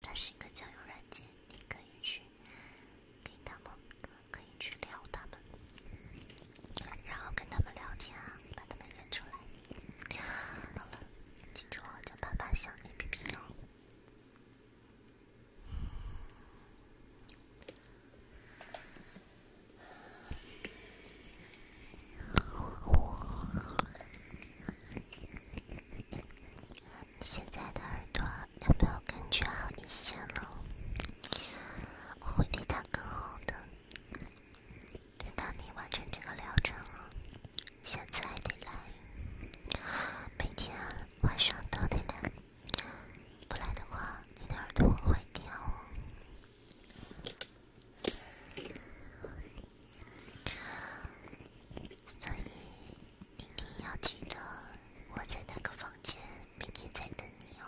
它是一个交友软件，你可以去给他们，可以去聊他们，然后跟他们聊天啊，把他们约出来。好了，记住哦，叫“潘潘小 A P P” 哦。你现在的耳朵有没有感觉好一些了？我会对他更好的，等到你完成这个疗程了。现在得来，每天晚上都得来，不来的话，你的耳朵会掉。所以。一定要记得我在那个房间，明天再等你哦。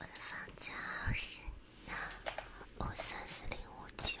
我的房间号是五三四零五九。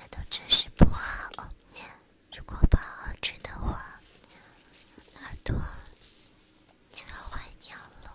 难道真是不好？如果不好吃的话，耳朵。就要换尿了。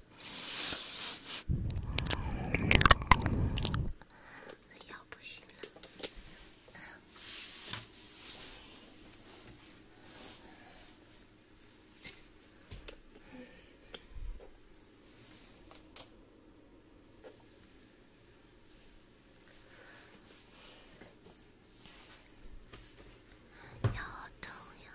腰不行了，腰好痛呀。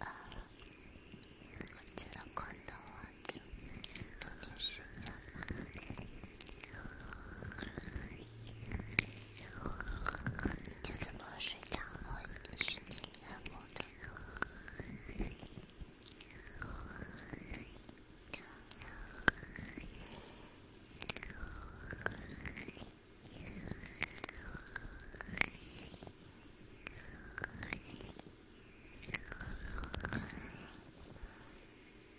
あこっちの今度は就怎么睡觉和一些其他问题。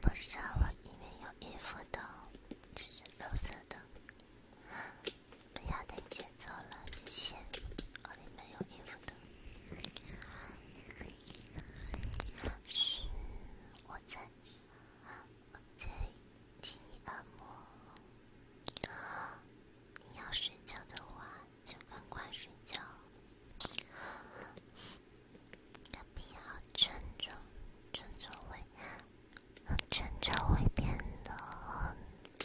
不是我，里面有衣服的。蓝色的，我要带你走了，先，哦，里面有衣服的。嘘，我在，在替你按摩。你要睡觉的话，就赶快睡觉，不要振作，振作！喂。很久会变得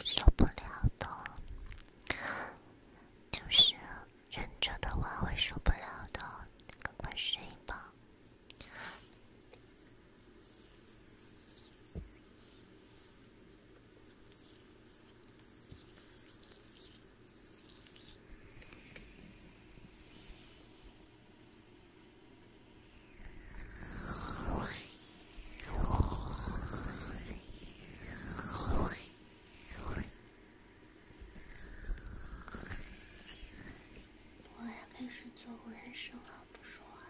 受不了的，就是忍着的话会受不了的，赶快睡吧。我要开始做过人声了，不说话了。